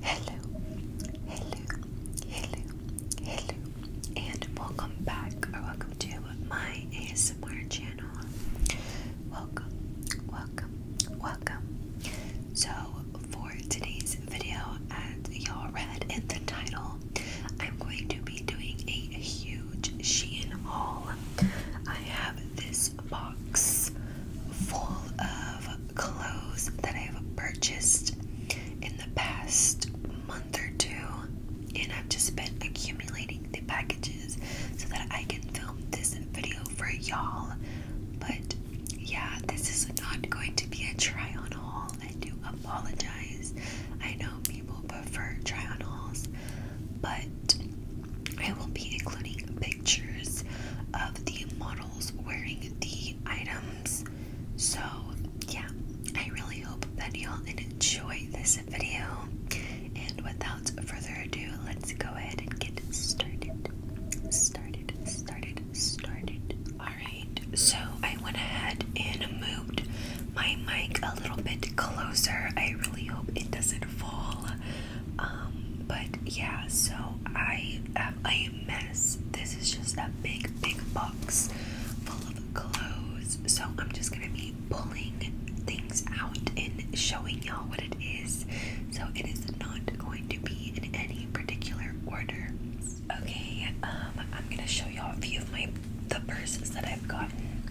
Hello, hello, hello, hello, and welcome back or welcome to my ASMR channel. Welcome, welcome, welcome. So, for today's video, as y'all read in the title, I'm going to be doing a huge Shein haul. I have this box full of clothes that I've purchased in the past month or two, and I've just been accumulating the packages so that I can film this video for y'all. But yeah, this is not going to be a try on haul. I do apologize. I know people prefer try on hauls, but I will be including pictures of the model wearing the items. So, yeah, I really hope that y'all enjoy this video. And without further ado, let's go ahead and get started. Started, started, started. Alright, so I went ahead and moved my mic a little bit closer. I really hope it doesn't fall. Um, but yeah, so I am this is just a big, big box full of clothes. So I'm just gonna be pulling things out and showing y'all what it is. So it is not going to be in any particular order. Okay, um, I'm gonna show y'all a few of my the purses that I've gotten.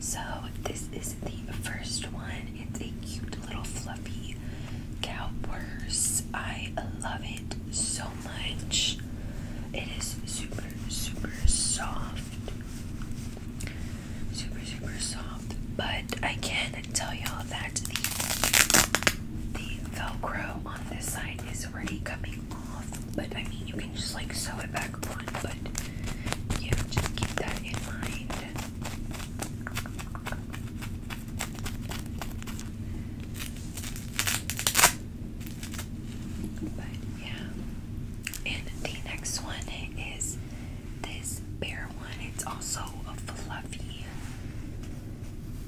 So this is the first one. It's a cute little fluffy cow purse. I love it so much. It is super, super soft. Super, super soft. But I can tell y'all that the, the Velcro on this side is already coming off. But I mean, you can just like sew it back on. But yeah, just keep that in mind. But yeah. And the next one is this bear one. It's also a fluffy.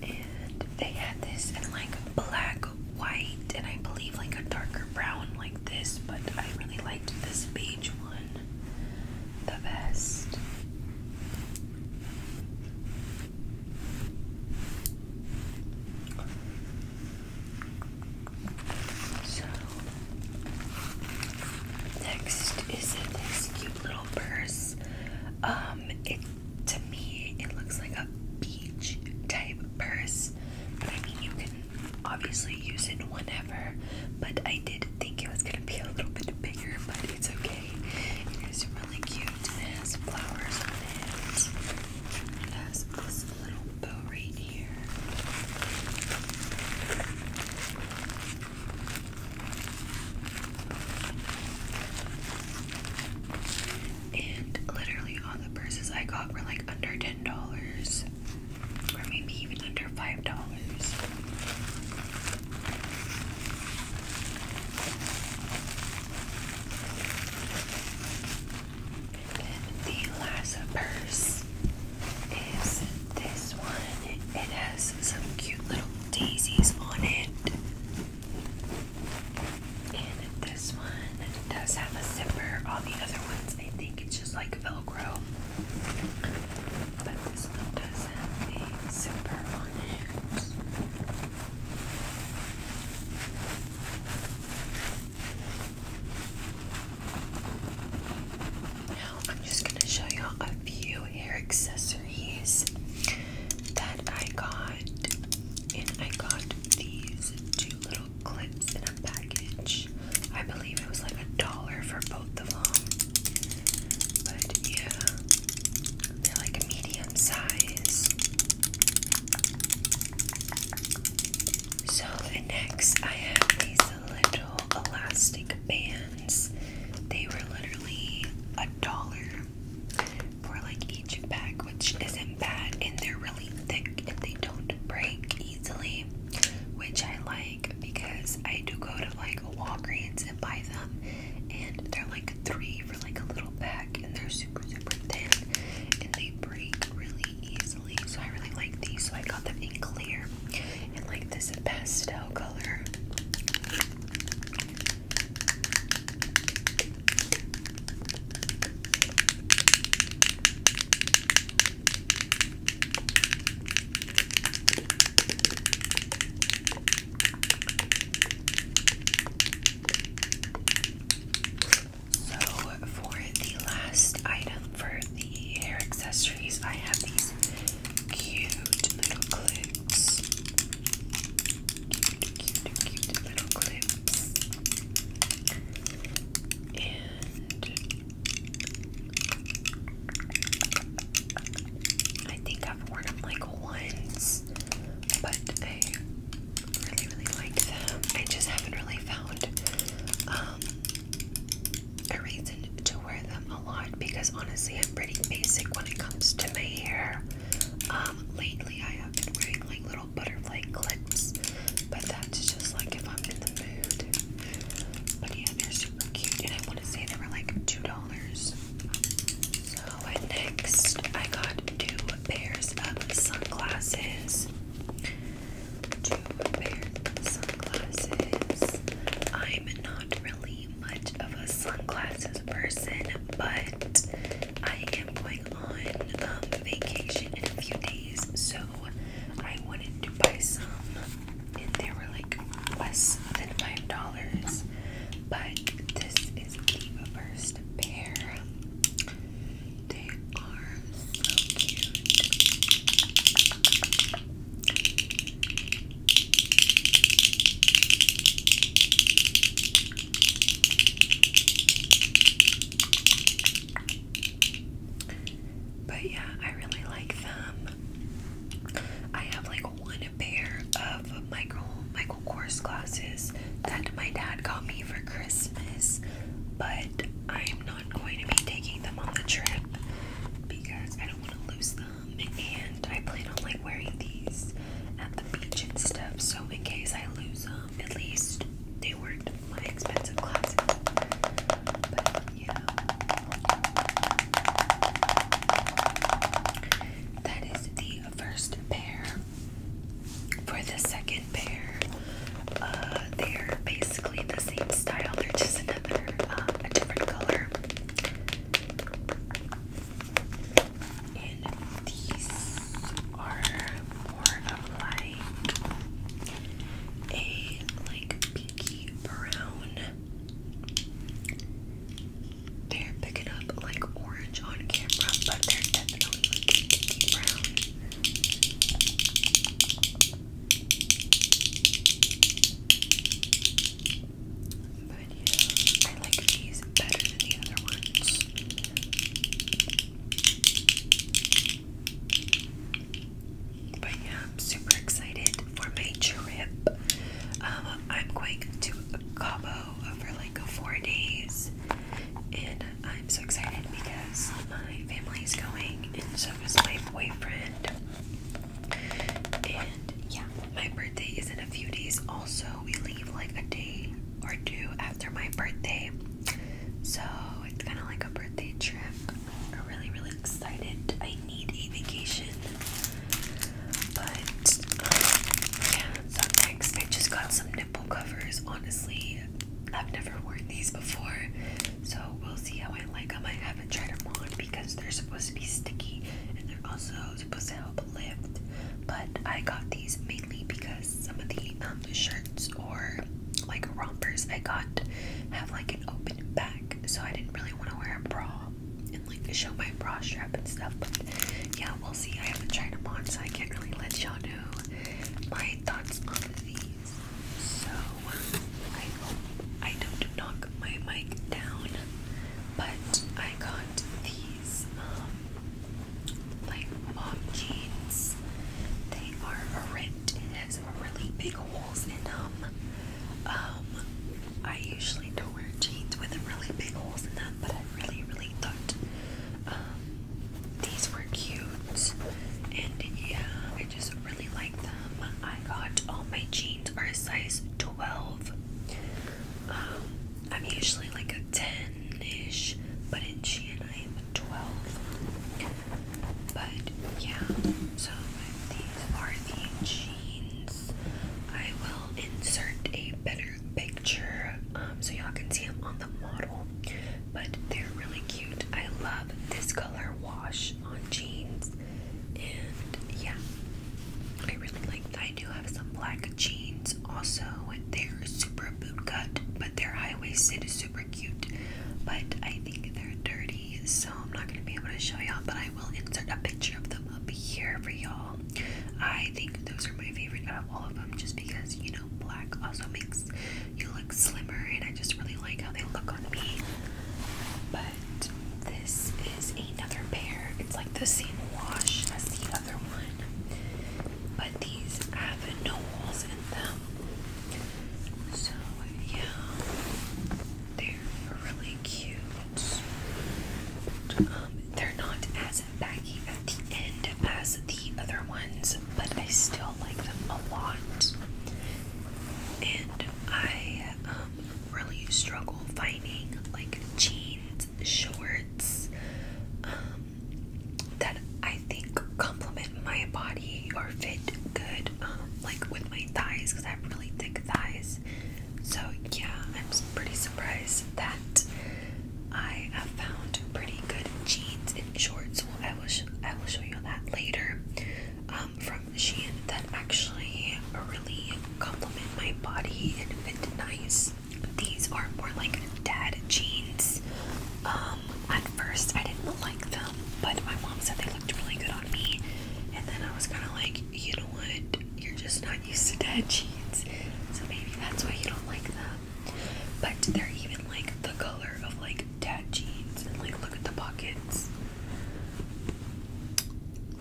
And they had this in like black, white, and I believe like a darker brown like this, but I really liked this beige one the best. So, next is this cute little purse. Um, it to me it looks like a beach type purse, but I mean you can obviously use it whenever. But I did think it was gonna be a little bit bigger, but it's okay. It is really cute. It has flowers on it. It has this little bow right here. And literally all the purses I got were like under $10 or maybe even under $5 the last purse is this one. It has some cute little daisies on it. And this one does have a zipper. All the other ones, I think it's just like Velcro. This one does have a zipper on it. I'm just going to show you a few hair accessories that I got. And I got these two little clips in a package. I believe it was like a dollar for both both of them. But yeah, they're like medium size. So the next, I have these little elastic bands. They were literally a dollar for like each pack, which isn't bad, and they're really thick and they don't break easily, which I like because I do go to like Walgreens and buy them. And they're like three for like a little pack, and they're super super thin, and they break really easily. So I really like these. So I got them in clear and like this pastel color. So, for the last item for the hair accessories, I have these cute little clips. Cute, little clips. And I think I've worn them like once, but I really, really like them. I just haven't really found um, a reason to wear them a lot because honestly, I'm pretty basic when it comes to my hair. Um, lately, I have been wearing like little butterfly clips, but that's just like if I'm in the mood. But yeah, they're super cute, and I want to say they were like $2 so next, I got two pairs of sunglasses. Two pair of sunglasses. I'm not really much of a sunglasses person, but I am going on um, vacation in a few days, so I wanted to buy some they were like less than five dollars. But this is Diva Burst pair. They are so cute. But yeah, I really like them. I have like one pair of Michael Michael Kors glasses that my dad got me for Christmas, but I'm not going to be taking them on the trip because I don't want to lose them, and I plan on like wearing these at the beach and stuff. So in case I lose them, at least they weren't my expensive glasses you. That is the first pair. For the second pair, uh, they're basically the same style, they're just another, uh, a different color. And these are more of like a like brown. They're picking up like orange on camera, but they're definitely brown. But yeah, I like these better than the other ones. But yeah, I'm super excited for my trip. Um, I'm going to Cabo for like four days, and I'm so excited because my family is going, and so is my boyfriend. And yeah, my birthday is in a few days. Also, we leave like a day or two after my birthday, so it's kind of like a birthday trip. I'm really, really excited. I need a vacation. But, yeah. So, next, I just got some nipple covers. Honestly, I've never worn these before. So, we'll see how I like them. I haven't tried them on because they're supposed to be sticky and they're also supposed to help lift. But I got these mainly because some of the um, shirts or like rompers I got have like an open back, so I didn't really want to wear a bra and like show my bra strap and stuff. But yeah, we'll see. I haven't tried them on, so I can't really let y'all know my thoughts on these. So I hope I don't knock my mic down. But I got these um, like mom jeans. They are ripped and has really big holes in them. Um, I usually don't wear jeans with really big holes in them, but I really, really thought um, these were cute, and yeah, I just really like them. I got all my jeans are a size 12. Um, I'm usually like a 10 ish, but in Shein I am a 12. But yeah, so Swarovski jeans. I will insert a better picture um, so y'all can see them on the model, but they're really cute. I love this color wash on jeans, and yeah, I really like I do have some black jeans also. They're super boot cut, but their high waisted is super cute, but I think they're dirty so I'm not gonna be able to show y'all, but I will insert a picture of them up here for y'all. I think those are my favorite out of all of them, just because you know black also makes you look slimmer, and I just really like how they look on me. But this is another pair. It's like the same wash as the other one, but these have no holes in them. So yeah. They're really cute. Um, they're not as baggy at the end as the other ones, but I still like them a lot. And I um, really struggle finding like jeans, shorts um, that I think complement my body or fit good, um, like with my thighs because I have really thick thighs. So, yeah, I'm pretty surprised that I have found pretty good jeans in shorts. Well, I will, sh I will show you that later um, from Shein that actually really complement my body and fit nice. These are more like dad jeans. Um, at first, I didn't like them, but my mom said they looked really good on me, and then I was kind of like, you know what? You're just not used to dad jeans. So maybe that's why you don't like them. But they're even like the color of like dad jeans. And like look at the pockets.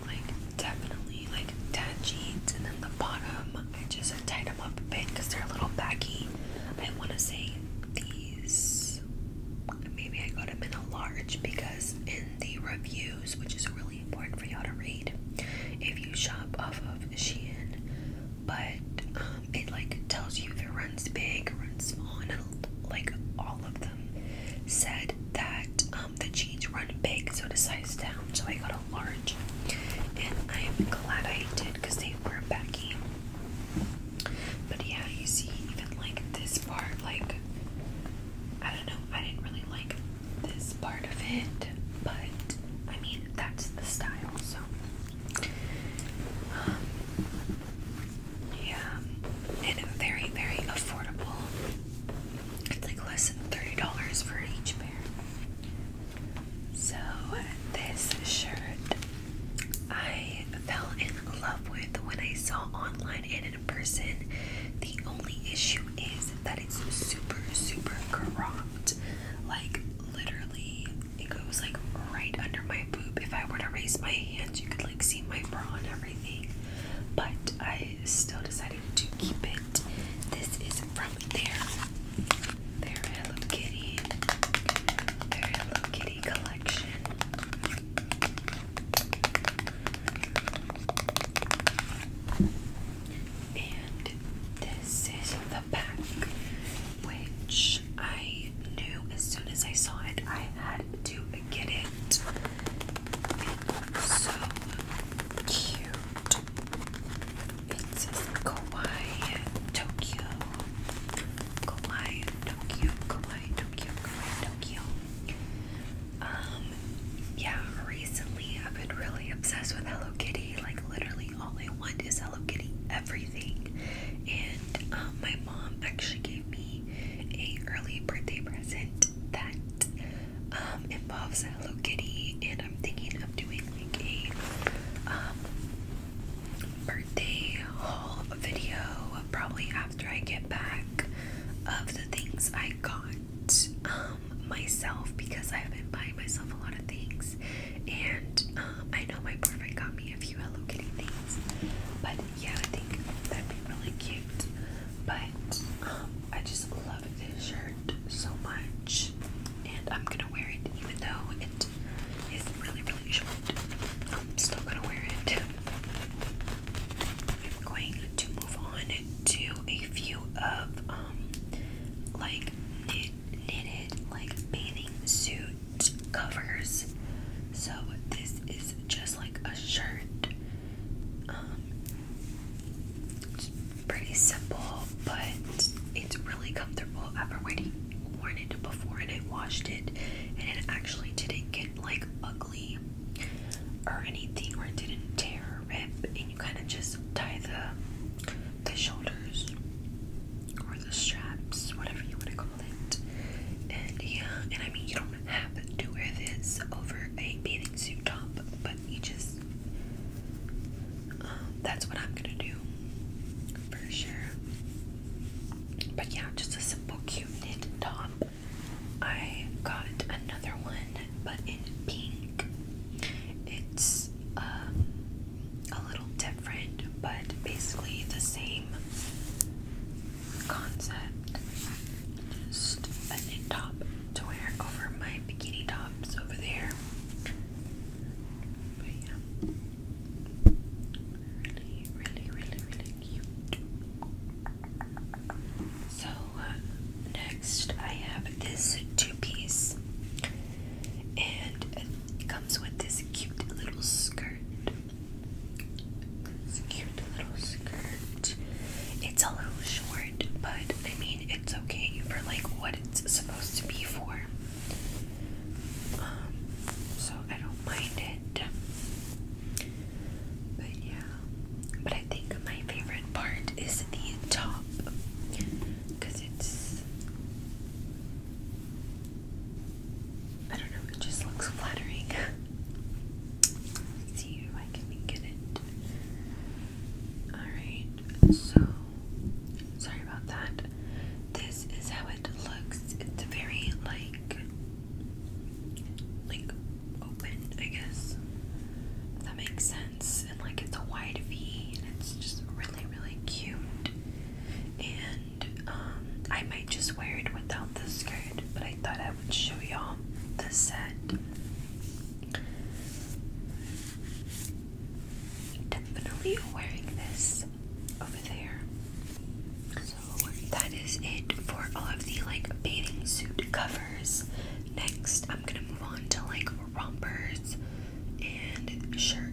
Like definitely like dad jeans. And then the bottom, I just tied them up a bit because they're a little baggy. I want to say these maybe I got them in a large because in the reviews, which is really important for y'all to read, if you shop off of Shein, but um, it like tells you if it runs big, runs small, and like all of them said that um, the jeans run big, so the size down. So I got a large, and I'm glad I did because they were baggy. But yeah, you see, even like this part, like I don't know, I didn't really like this part of it, but I mean, that's the style, so. Um, yeah, and very, very affordable. It's like less than $30 for each pair. So, this shirt I fell in love with when I saw online, person. The only issue is that it's super, super cropped. Like, literally, it goes like right under my boob. If I were to raise my hands, you could like see my bra and everything. But I still decided to keep it. This is from there. Their Hello Kitty. Their Hello Kitty collection. And this is the pack, which I knew as soon as I saw it, I had to get it. It's so cute. It says Kawaii Tokyo. Kawaii Tokyo, Kawaii Tokyo, Tokyo. Um, yeah, recently I've been really obsessed with Hello Kitty. Like literally all I want is Hello Kitty everything. And um, my mom actually gave me a early birthday present that um, involves Hello Kitty and I'm thinking of doing like a birthday haul video probably after I get back of the things I got um, myself because I've been buying myself a lot of things. And um, I know my boyfriend got me a few Hello Kitty things. But yeah, I think that'd be really cute. But um, I just love this shirt so much. And I'm gonna wear it even though it is really, really short. I'm still gonna wear it. I'm going to move on to a few of um, like knit, knitted like bathing suit covers. So this is just like a shirt. Um, it's pretty simple, but it's really comfortable. I've already worn it before and I washed it and it actually didn't get like ugly or anything or it didn't tear or rip and you kind of just tie the the shoulders or the straps whatever you want to call it and yeah and I mean you don't have to wear this over a bathing suit top but you just um, that's what I'm gonna do for sure but yeah just a simple cute knit top I got another one, but in pink. It's um, a little different, but basically the same concept. Just a knit top to wear over my bikini tops over there. But yeah. Really, really, really, really so, uh, next I have this two piece, and it comes with this cute little skirt. This cute little skirt. It's a little short, but I mean, it's okay for like what it's supposed to be for. Um, so I don't mind it. But yeah, but I think my favorite part is the top because it's I don't know, it just looks flattering. see if I can get it. Alright, so sorry about that. This is how it looks. It's very like like open, I guess. that makes sense. And like it's a wide V and it's just really, really cute. And um I might just wear it without the skirt, but I thought I would show y'all the set. Definitely wearing this over there. So that is it for all of the like bathing suit covers. Next, I'm gonna move on to like rompers and shirts.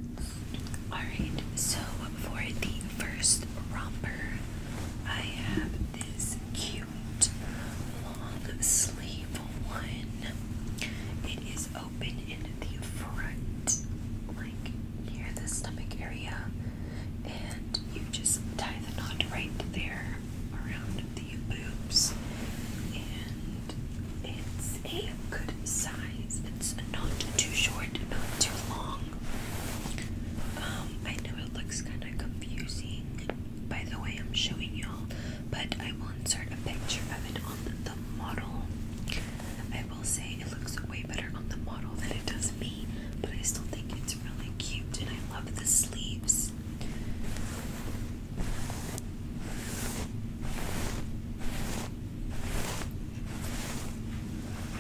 Alright, so for the first romper, I have this cute long sleeve one. It is open in the front, like near the stomach area, and you just tie the knot right there around the boobs and it's a good size. It's not too short, not too long. Um, I know it looks kind of confusing by the way I'm showing y'all, but I will insert a picture of it on the model. I will say it looks way better on the model than it does me but I still think it's really cute and I love the sleeves.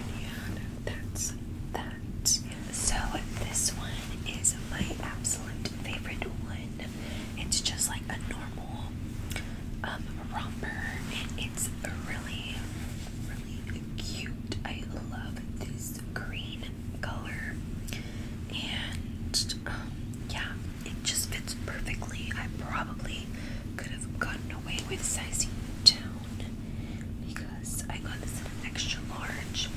And that's that. So this one is my absolute favorite one. It's just like a normal um romper. It's really, really cute. I love this green color. And um, yeah, it just fits perfectly. I probably could have gotten away with sizing down because I got this in an extra large,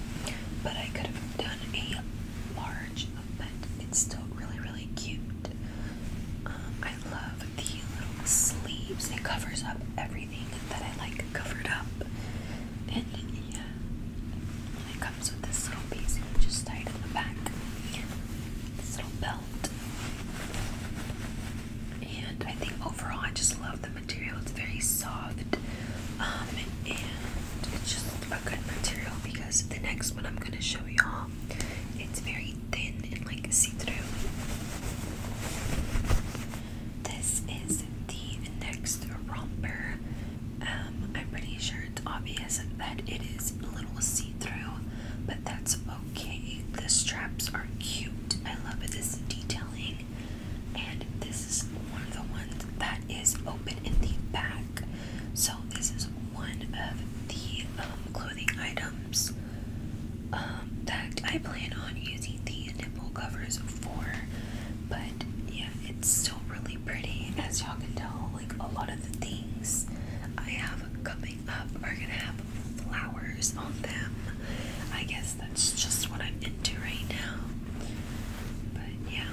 but I could have done a large, but it's still really, really cute. Um, I love the little sleeves, it covers up every that I like covered up. And yeah, it comes with this little piece just tie in the back. This little belt. And I think overall I just love the material. It's very soft. Um, and it's just a good material because the next one I'm gonna show y'all it's very thin and like see-through. This is the next romper. Um, I'm pretty sure it's obvious that it is a little see-through, but that's okay. The straps are cute. I love this detailing. And this is one of the ones that is open in the back. So this is one of the um, clothing items that um, I plan on using the nipple covers for, but yeah, it's still really pretty. As y'all can tell, like a lot of the things I have coming up are gonna have flowers on them. I guess that's just what I'm into right now. But yeah.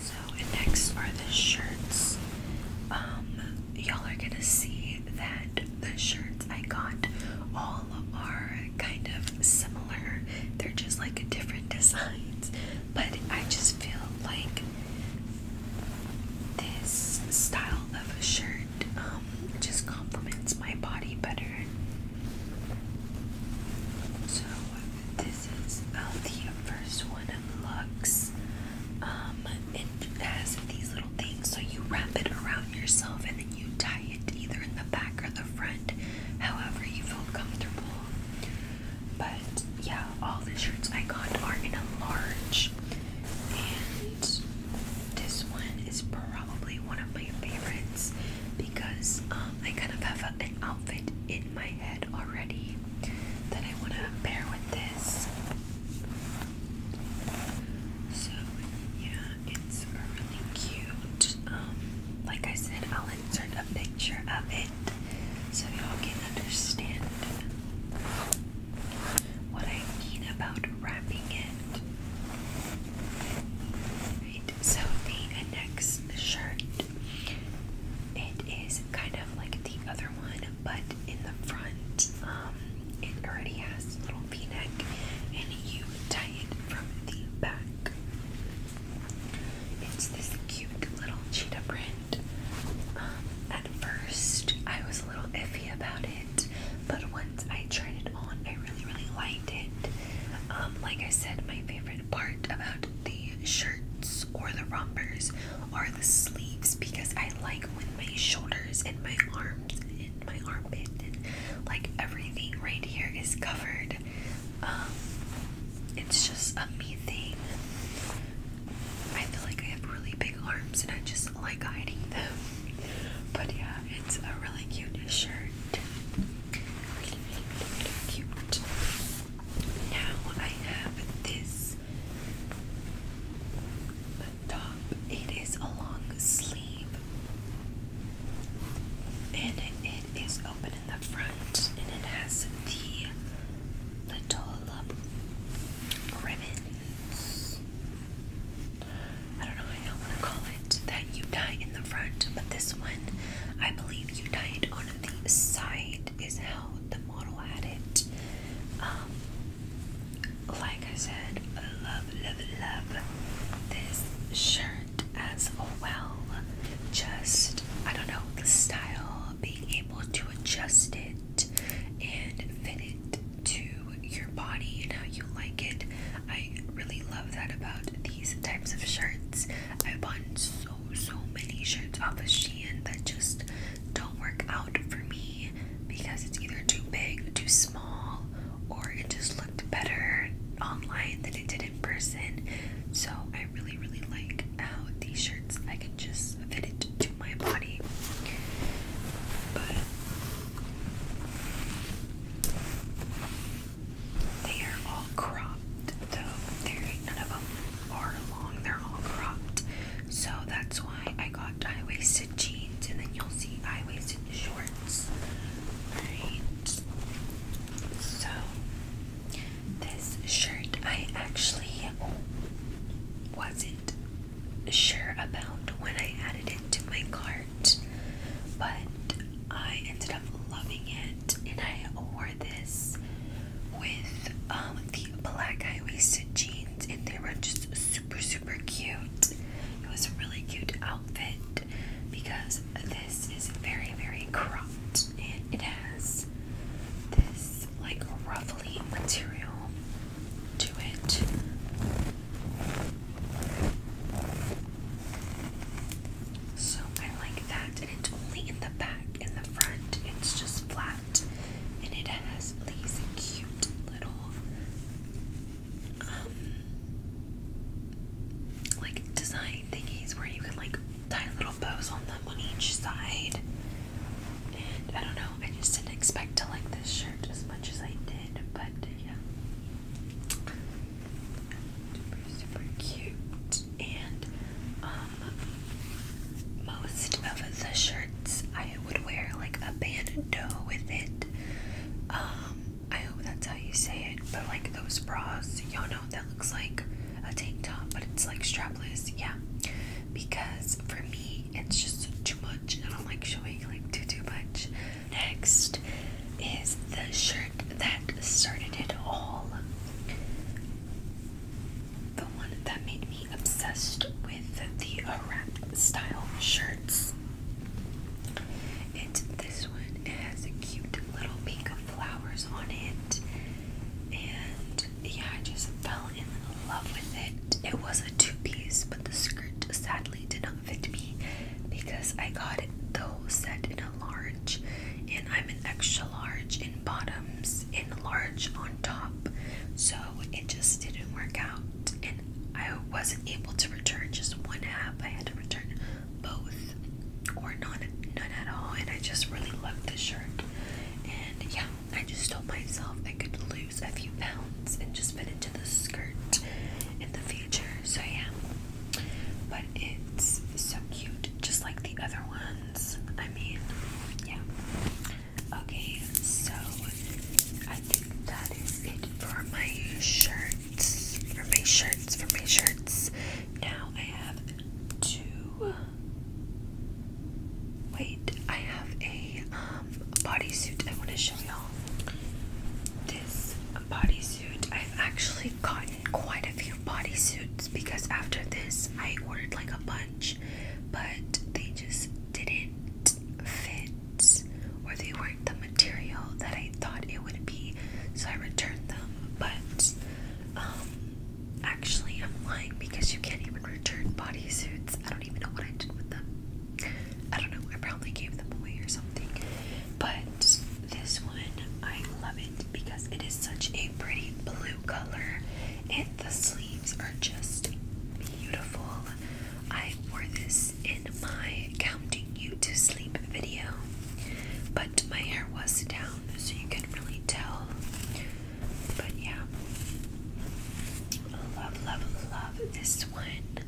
So next are the shirts. Um, y'all are gonna see that the shirts I got all all are kind of similar. They're just like different designs. But I just feel like this style of a shirt um, just complements my body better. So this is uh, the first one of Lux. Um, it has these little thing. So you wrap it around yourself and then you tie it either in the back or the front, however you feel comfortable. But yeah, all the shirts I got are in a large, and this one is probably one of my favorites because um, I kind of have a, an outfit in my head already that I want to pair with this. So, yeah, it's really cute. Um, like I said, I'll insert a picture of it so y'all can understand what I mean about wrapping it. Right, so the next shirt, it is kind of like the other one, but in the front, um, it already has a little v-neck and you tie it from the back. It's this cute little cheetah print. Um, at first, I was a little iffy about it, but once I tried it on, I really, really liked it. Um, like I said, my favorite part about the shirts or the rompers are the sleeves because I like when my shoulders and my arms arms and my armpit and like everything right here is covered. Um, it's just a me thing. I feel like I have really big arms and I just like hiding them. But yeah, it's a really cute shirt. Really, really cute. Now I have this top. It is a long sleeve, and it is open in the front, and it has the little uh, ribbons. I don't know. I don't want to call it that. You tie in the front, but this one, I believe, you tie on the side. Is how the model had it. Um, like I said, love, love, love this shirt as well. Just, I don't know, the style, being able to adjust it and fit it to your body and how you like it. I really love that about these types of shirts. I bought so, so many shirts off of Shein that just don't work out for me because it's either too big, too small small or it just looked better online than it did in person. So I really, really like how these shirts I can just fit it to my body. But they are all cropped though. none of them are long, they're all cropped. So that's why I got high wasted jeans, and then you'll see high-waisted shorts. Alright. So this shirt I actually wasn't sure about when I added it to my cart, but I ended up loving it and I wore this with um, the black high waisted jeans and they were just super super cute. It was a really cute outfit because this is very, very cropped and it has this like ruffly material to it. So I like that, and it's only in the back. In the front, it's just flat, and it has these cute little um, like design thingies where you can like tie little bows on them on each side. I don't know, I just didn't expect to like this shirt as much as I did, but yeah. Super, super cute. And um, most of the shirts I I would wear like a bandeau with it. Um, I hope that's how you say it, but like those bras, y'all know that looks like a tank top, but it's like strapless, yeah. Because for me, it's just too much. I don't like showing like too too much. Next is the shirt that started it all. The one that made me obsessed with the wrap style shirts. And this one it has a cute little pink flowers on it. And yeah, I just fell in love with it. It was a two-piece, but the skirt sadly did not fit me because I got the though set in a large and I'm an extra large in bottoms and large on top. So it just didn't work out. I wasn't able to return just one app. I had to return both or none, none at all. And I just really loved the shirt. And yeah, I just told myself I could lose a few pounds and just fit into the skirt in the future. So yeah, but it's so cute, just like the other ones. I mean, yeah. Okay, so I think that is it for my shirts. For my shirts, for my shirts. Now I have two. Wait, I have a um bodysuit I want to show y'all. This bodysuit. I've actually gotten quite a few bodysuits because after this I ordered like a bunch, but they just didn't fit or they weren't the material that I thought it would be, so I returned them. But um, actually, I'm lying because you can't even return body suits. I don't even know what I did with them. I don't know, I probably gave them away or something. But this one, I love it because it is such a pretty blue color, and the sleeves are just beautiful. I wore this in my counting you to sleep video, but my hair was down so you can really tell. But yeah, love, love, love this one.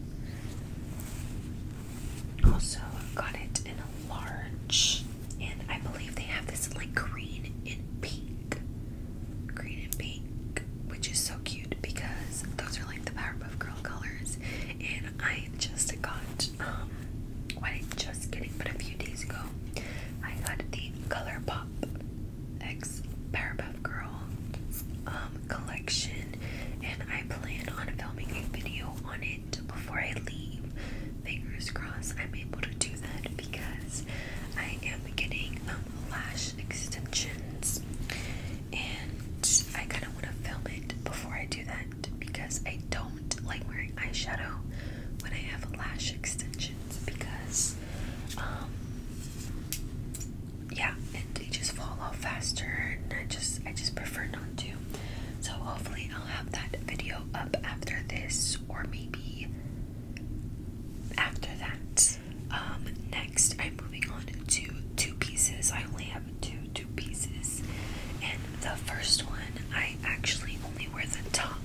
Also, got it in a large, and I believe they have this in like green and pink green and pink, which is so cute because those are like the Powerpuff Girl colors. And I just got, um, just getting, but a few days ago, I got the Color ColourPop X Powerpuff Girl um, collection, and I plan on filming a video on it before I leave. Fingers crossed, I'm able to do that because I am getting um, lash extensions, and I kind of want to film it before I do that because I don't like wearing eyeshadow when I have lash extensions because, um, yeah, and they just fall off faster, and I just I just prefer not to. So hopefully I'll have that video up after this, or maybe after that. Um, next, I'm moving on to two pieces. I only have two two pieces, and the first one I actually only wear the top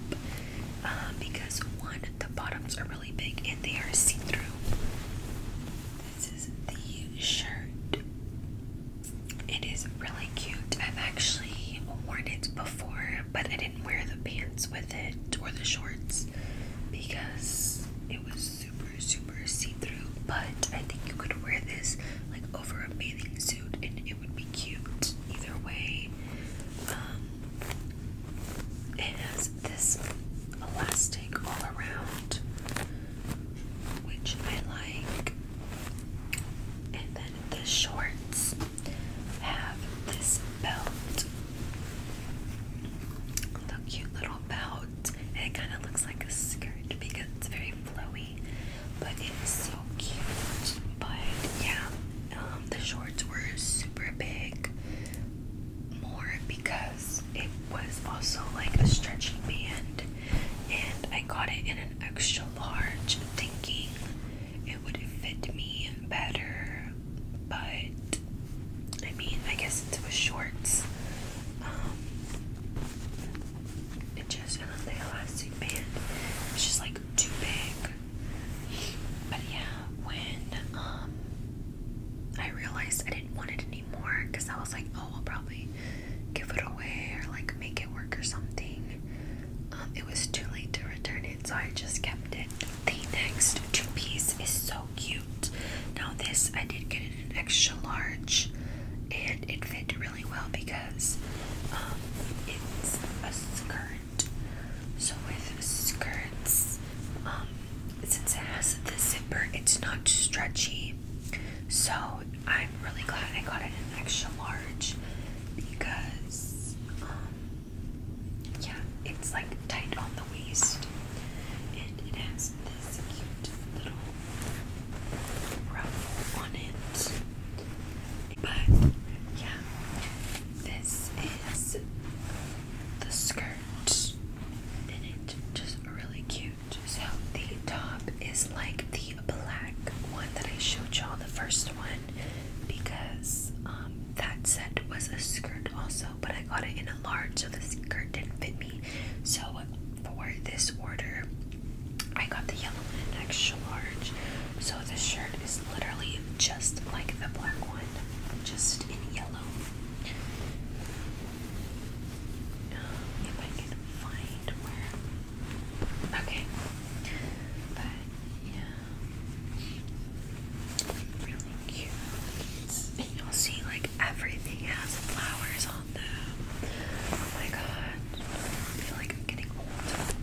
uh, because one the bottoms are really big and they are see through. This is the shirt. It is really cute. I've actually worn it before, but I didn't wear the pants with it or the shorts because it was super, super see-through, but I think you could wear this like over a bathing suit and it would be cute either way. Um, it has this elastic all around, which I like. And then the shorts have this belt. The cute little little it kind of looks like a skirt because it's very flowy. But it's so cute. But yeah, um, the shorts were super big, more because it was also like a stretchy band, and I got it in an extra large, thinking it would fit me better but I mean, I guess since it was shorts, um, it just, and then elastic band was just like too big. But yeah, when, um, I realized I didn't want it anymore because I was like, oh, I'll probably give it away or like make it work or something. Um, it was too late to return it, so I just kept it. The next two piece is so cute. Now this I did get in an extra large and it fit really well because um, it's a skirt. So with skirts, um, since it has the zipper, it's not stretchy. So I'm really glad I got it in an extra large because um, yeah, it's like tight on the waist, and it has this cute little ruffle on it. But yeah, this is the skirt, and it's just really cute. So the top is like the black one that I showed y'all the first one because um, that set was a skirt also but I got it in a large, so the skirt didn't fit me. So for this order, I got the yellow extra large. So this shirt is literally just like the black one, just in yellow. Um, if I can find where. Okay. But yeah you'll see like everything has flowers on them. Oh my god. I feel like I'm getting old.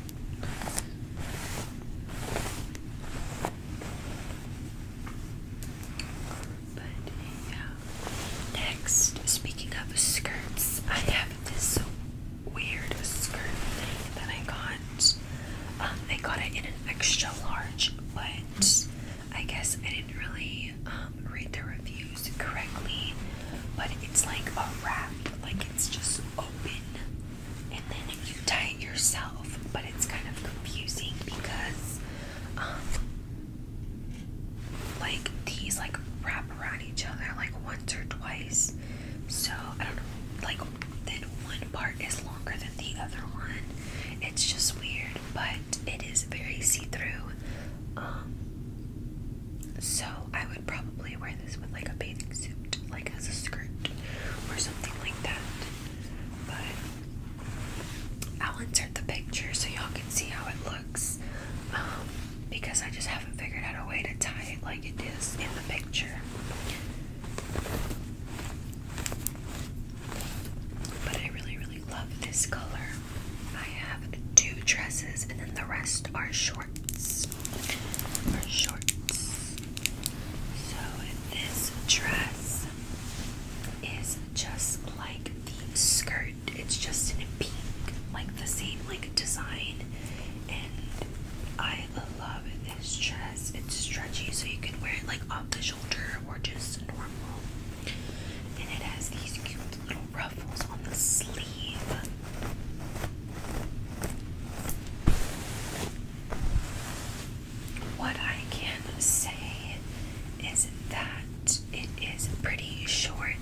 But yeah. Next, speaking of skirts, I have this weird skirt thing that I got. Um, I got it in an extra large, but I guess I didn't really um, read the reviews correctly. But it's like a wrap, like it's just open, and then you tie it yourself. But it's kind of confusing because, um, like these like wrap around each other like once or twice. So I don't know, like then one part is longer than the other one. It's just weird, but it is very see-through. Um, so I would probably wear this with like a bathing suit, like as a skirt or something like that. But I'll insert the picture so y'all can see how it looks. Um, because I just haven't figured out a way to tie it like it is in the picture. But I really, really love this color. I have two dresses, and then the rest are shorts. Are shorts. So this dress is just like the skirt. It's just in pink, like the same like design, and I love it. It's just it's stretchy, so you can wear it like off the shoulder or just normal. And it has these cute little ruffles on the sleeve. What I can say is that it is pretty short.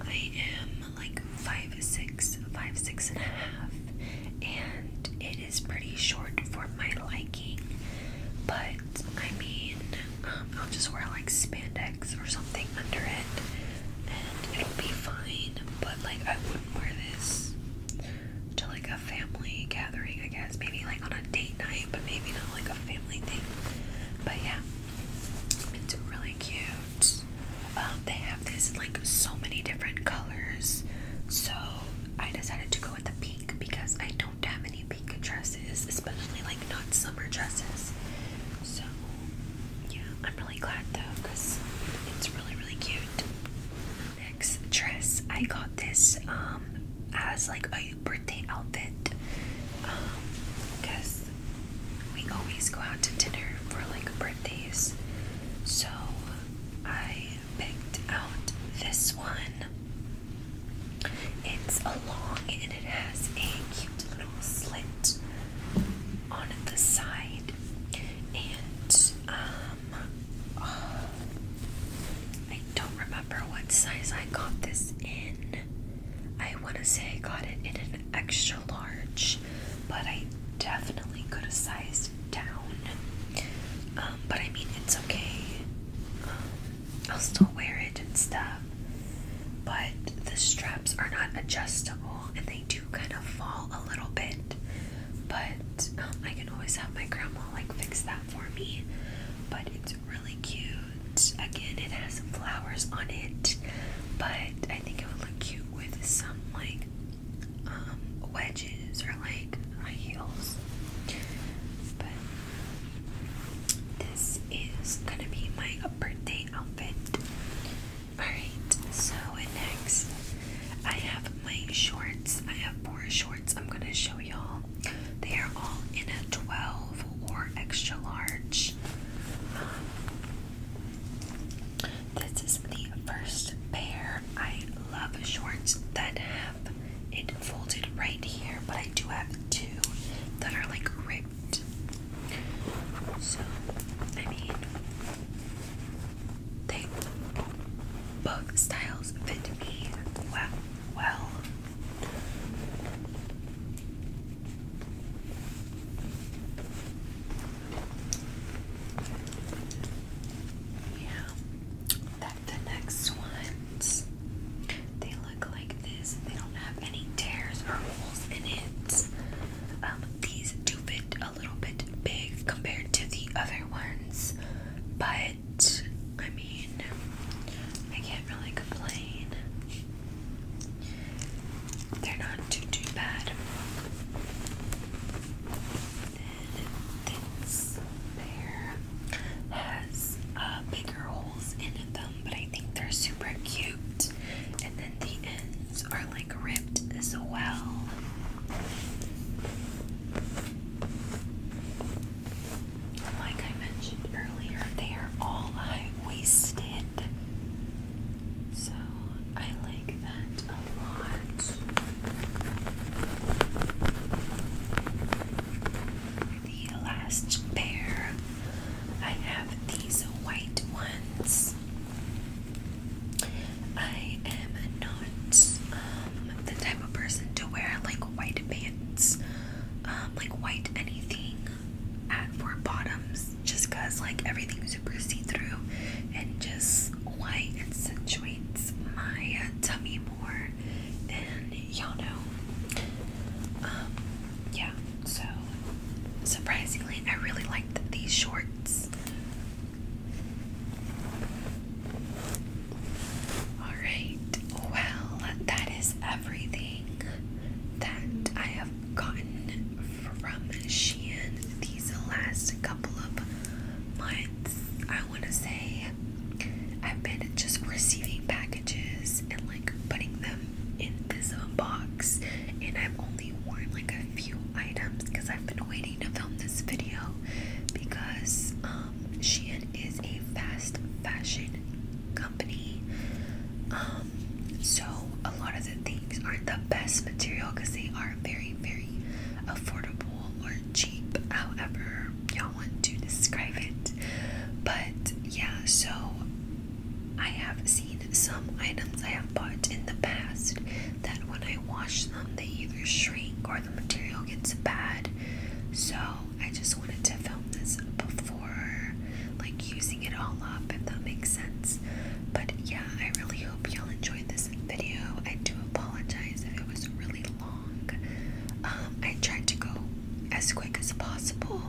I am like five six, five six and a half, and it is pretty short for my liking, but I mean, um, I'll just wear like spandex or something under it and it'll be fine, but like I wouldn't wear this to like a family gathering, I guess. Maybe like on a date night, but maybe not like a family thing. But yeah, it's really cute. Um, they have this like so many different colors, so I decided to go with a pink because I don't have any pink dresses, especially like not summer dresses. So yeah, I'm really glad though because it's really really cute. Next dress, I got this um as like a birthday outfit because um, we always go out to dinner for like birthdays. So I picked out this one. It's long and it has a cute little slit on the side. And um I don't remember what size I got this in. I wanna say I got it in an extra large, but I definitely could have sized down. Um, but I mean, it's okay. Um, I'll still wear it and stuff. But the straps are not adjustable and they do kind of fall a little bit. But um, I can always have my grandma like fix that for me. But it's really cute. Again, it has flowers on it. But I think it would look cute with some like um, wedges or like high heels. But this is gonna be my birthday outfit. Alright, so next I have my shorts. I have four shorts I'm gonna show y'all. They are all in a 12 or extra large. Um, this is the first pair. I love shorts that have it folded right here, but I do have two that are like ripped. So, I mean, they both styles fit me well. well. Yeah, the next ones, they look like this. They don't have any tears or holes in it. Um, these do fit a little bit big compared to the other ones, but I mean, I can't really complain. They're not too too bad this pair has uh, bigger holes in them, but I think they're super cute. And then the ends are like ripped as well. Like I mentioned earlier, they are all high waisted. So I like that a lot. The last pair, I have these white ones. I am not um, the type of person to wear like white pants, um, like white anything at for bottoms, just cause like everything's super see through and just why accentuates my tummy more than y'all know um, yeah so surprisingly I really liked these shorts alright well that is everything that I have gotten from Shein these last couple of months, I want to say, I've been just receiving packages and like putting them in this um, box. And I've only worn like a few items because I've been waiting to film this video because um, Shein is a fast fashion company. Um, so a lot of the things aren't the best material because they are very, very affordable or cheap, however you want to describe it. But yeah, so I have seen some items I have bought in the past that when I wash them, they either shrink or the material gets bad. So I just wanted to film this before like using it all up, if that makes sense. But yeah, I really I hope y'all enjoyed this video. I do apologize if it was really long. Um, I tried to go as quick as possible,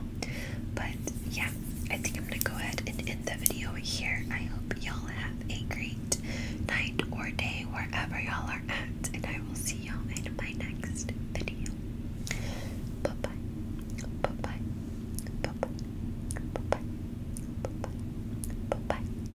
but yeah, I think I'm gonna go ahead and end the video here. I hope y'all have a great night or day wherever y'all are at, and I will see y'all in my next video. Bye bye. Bye bye. Bye bye. Bye bye. Bye bye. Bye bye.